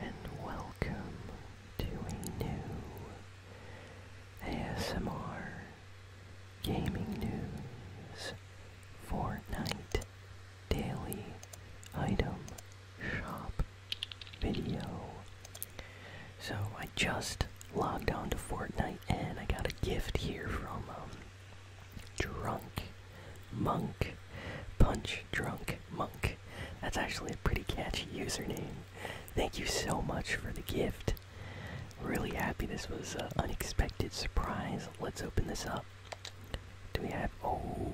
and welcome to a new ASMR Gaming News Fortnite Daily Item Shop video. So I just logged on to Fortnite and I got a gift here from um, Drunk Monk. Punch Drunk Monk. That's actually a pretty catchy username. Thank you so much for the gift. Really happy this was an unexpected surprise. Let's open this up. Do we have. Oh.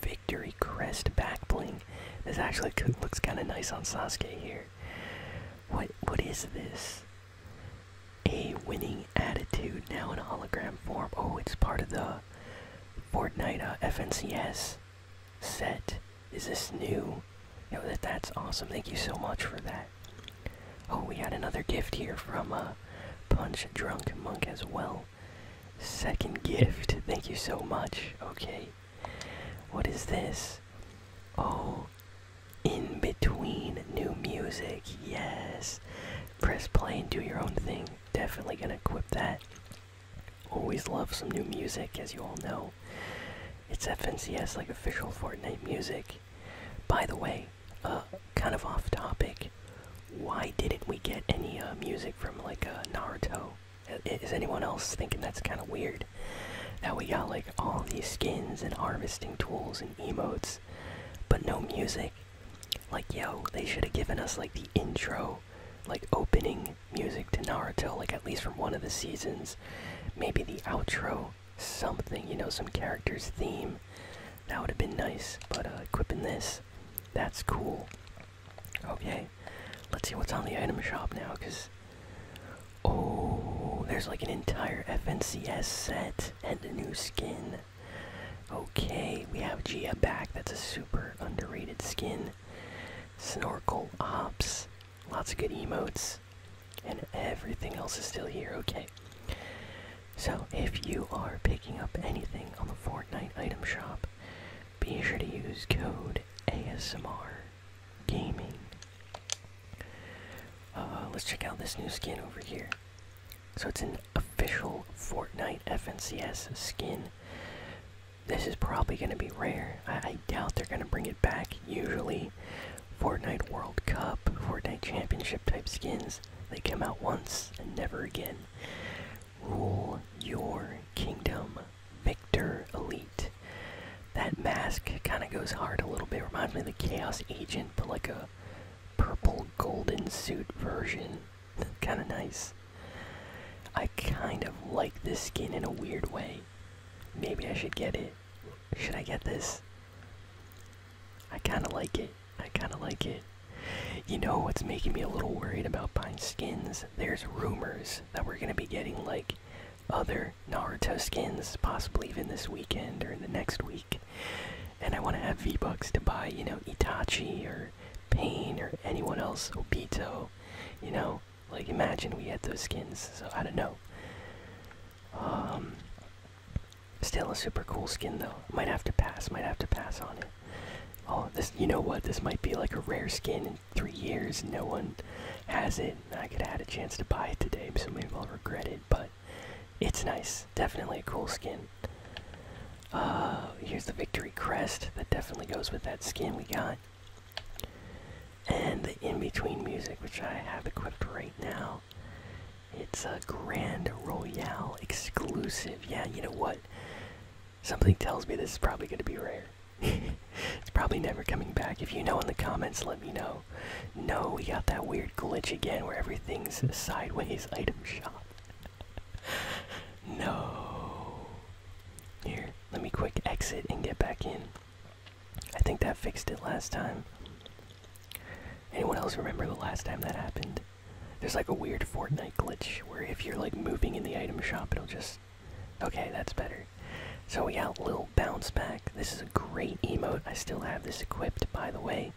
Victory Crest back bling. This actually looks kind of nice on Sasuke here. What what is this? A winning attitude now in hologram form. Oh, it's part of the Fortnite uh, FNCS set. Is this new? You that that's awesome. Thank you so much for that. Oh, we got another gift here from uh, Punch Drunk Monk as well. Second gift. Thank you so much. Okay. What is this? Oh, in between new music. Yes press play and do your own thing definitely gonna equip that always love some new music as you all know it's fncs like official fortnite music by the way uh, kind of off topic why didn't we get any uh, music from like uh, naruto is anyone else thinking that's kind of weird that we got like all these skins and harvesting tools and emotes but no music. Like, yo, they should have given us like the intro, like opening music to Naruto, like at least from one of the seasons. Maybe the outro, something, you know, some character's theme. That would have been nice, but uh, equipping this, that's cool. Okay, let's see what's on the item shop now, because. Oh, there's like an entire FNCS set and a new skin. Okay, we have Gia back. That's a super underrated skin. Snorkel Ops. Lots of good emotes. And everything else is still here. Okay. So, if you are picking up anything on the Fortnite item shop, be sure to use code ASMR Gaming uh, let's check out this new skin over here. So it's an official Fortnite FNCS skin. This is probably going to be rare. I doubt they're going to bring it back. Usually, Fortnite World Cup, Fortnite Championship type skins, they come out once and never again. Rule your kingdom. Victor Elite that mask kind of goes hard a little bit. Reminds me of the Chaos Agent, but like a purple golden suit version. kind of nice. I kind of like this skin in a weird way. Maybe I should get it. Should I get this? I kind of like it. I kind of like it. You know what's making me a little worried about buying skins? There's rumors that we're going to be getting like other Naruto skins, possibly even this weekend or in the next week. And I want to have V-Bucks to buy, you know, Itachi or Pain or anyone else, Obito. You know, like imagine we had those skins, so I don't know. Um, still a super cool skin though. Might have to pass, might have to pass on it. Oh, this, you know what? This might be like a rare skin in three years. No one has it. I could have had a chance to buy it today, so maybe I'll regret it, but it's nice. Definitely a cool skin. Uh, here's the victory crest that definitely goes with that skin we got. And the in-between music, which I have equipped right now. It's a Grand Royal exclusive. Yeah, you know what? Something tells me this is probably going to be rare it's probably never coming back. If you know in the comments, let me know. No, we got that weird glitch again where everything's sideways item shop. no. Here, let me quick exit and get back in. I think that fixed it last time. Anyone else remember the last time that happened? There's like a weird Fortnite glitch where if you're like moving in the item shop, it'll just Okay, that's better. So we got Lil Bounce Back. This is a great emote. I still have this equipped, by the way.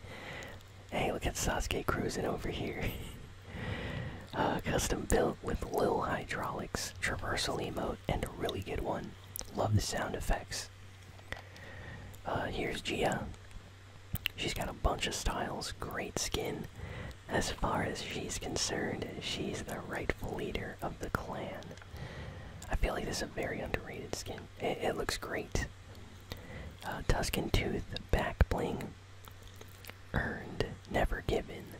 Hey, look at Sasuke cruising over here. uh, custom built with Lil Hydraulics, traversal emote, and a really good one. Love the sound effects. Uh, here's Gia. She's got a bunch of styles, great skin. As far as she's concerned, she's the rightful leader of the clan. I feel like this is a very underrated skin. It, looks great. Uh, Tuscan Tooth, Back Bling, Earned, Never Given,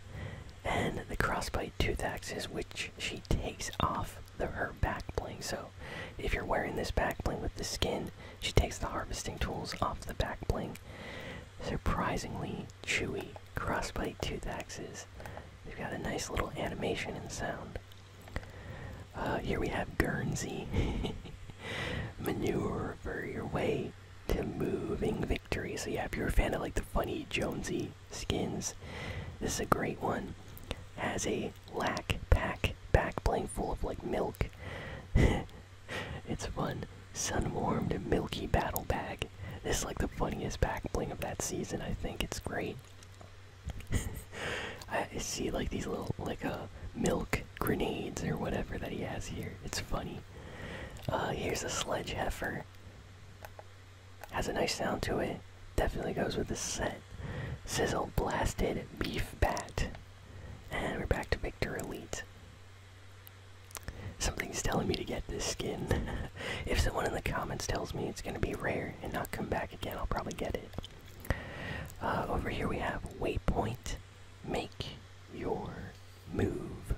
and the crossblade Tooth axes, which she takes off her back bling. So if you're wearing this back bling with the skin, she takes the harvesting tools off the back bling. Surprisingly chewy crossbite tooth axes. They've got a nice little animation and sound. Uh, here we have Guernsey. Manure for your way to moving victory. So yeah, if you're a fan of like the funny Jonesy skins, this is a great one. Has a lack pack back bling full of like milk. It's fun. Sun-warmed milky battle bag. This is like the funniest back bling of that season. I think it's great. I see like these little like a uh, milk grenades or whatever that he has here. It's funny. Uh, here's a sledge heifer. Has a nice sound to it. Definitely goes with the set. Sizzle blasted beef bat. And we're back to Victor Elite. Something's telling me to get this skin. if someone in the comments tells me it's going to be rare and not come back again, I'll probably get it. Uh, over here we have Waypoint. Make your move.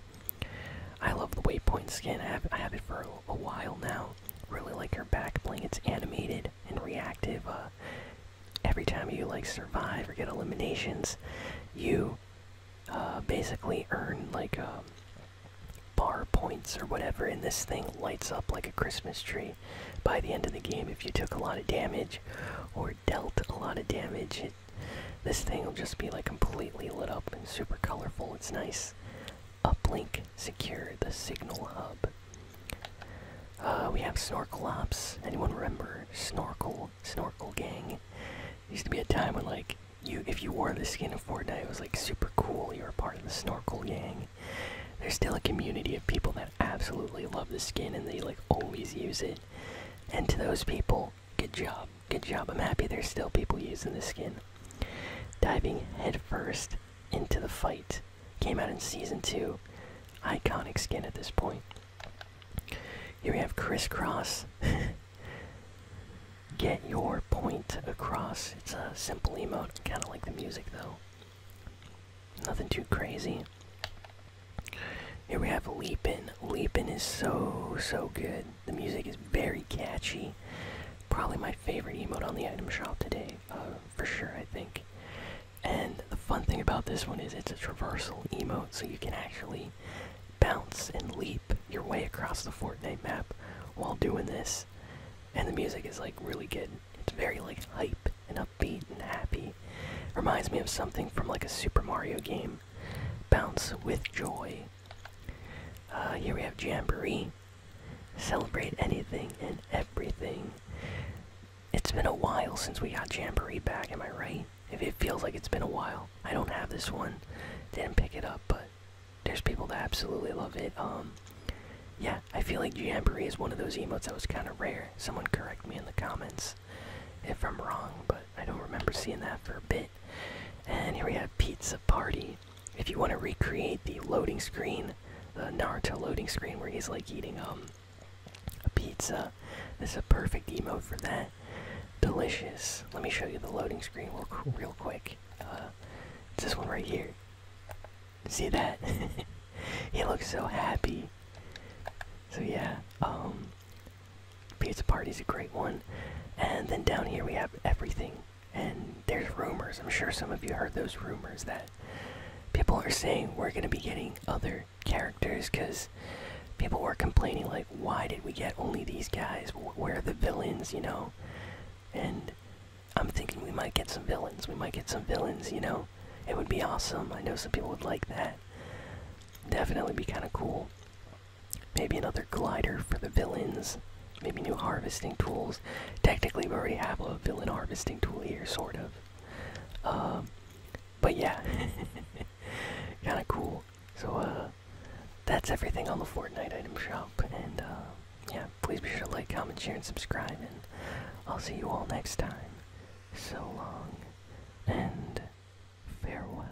I love the Waypoint skin. I have, it for a, while now. Really like your back bling. It's animated and reactive. Uh, every time you like survive or get eliminations, you uh, basically earn like a uh, bar points or whatever, and this thing lights up like a Christmas tree by the end of the game. If you took a lot of damage or dealt a lot of damage, it, this thing will just be like completely lit up and super colorful. It's nice. Uplink Secure, the Signal Hub. Uh, we have snorkel ops. Anyone remember Snorkel? Snorkel Gang. Used to be a time when, like, you if you wore the skin of Fortnite, it was like super cool. You were part of the Snorkel Gang. There's still a community of people that absolutely love the skin and they like always use it. And to those people, good job, good job. I'm happy there's still people using the skin. Diving headfirst into the fight. Came out in season two. Iconic skin at this point. Here we have crisscross. Get your point across. It's a simple emote. Kind of like the music though. Nothing too crazy. Here we have leaping. Leaping is so, so good. The music is very catchy. Probably my favorite emote on the item shop today, uh, for sure, I think. And the fun thing about this one is it's a traversal emote, so you can actually bounce and leap your way across the Fortnite map while doing this. And the music is like really good. It's very like hype and upbeat and happy. Reminds me of something from like a Super Mario game. Bounce with joy. Uh, here we have Jamboree. Celebrate anything and everything. It's been a while since we got Jamboree back, am I right? If it feels like it's been a while. I don't have this one. Didn't pick it up, but there's people that absolutely love it. Um yeah, I feel like Jamboree is one of those emotes that was kind of rare. Someone correct me in the comments if I'm wrong, but I don't remember seeing that for a bit. And here we have Pizza Party if you want to recreate the loading screen, the Naruto loading screen where he's like eating um a pizza. This is a perfect demo for that. Delicious. Let me show you the loading screen real, quick. it's uh, this one right here. See that? he looks so happy. So yeah, um, pizza party's a great one. And then down here we have everything. And there's rumors, I'm sure some of you heard those rumors that people are saying we're going to be getting other characters because people were complaining, like, why did we get only these guys? Where are the villains, you know? And I'm thinking we might get some villains. We might get some villains, you know? It would be awesome. I know some people would like that. Definitely be kind of cool. Maybe another glider for the villains. Maybe new harvesting tools. Technically, we already have a villain harvesting tool here, sort of. Um, but yeah, kind of cool. So uh, that's everything on the Fortnite item shop. And uh, yeah, please be sure to like, comment, share, and subscribe. And I'll see you all next time. So long and farewell.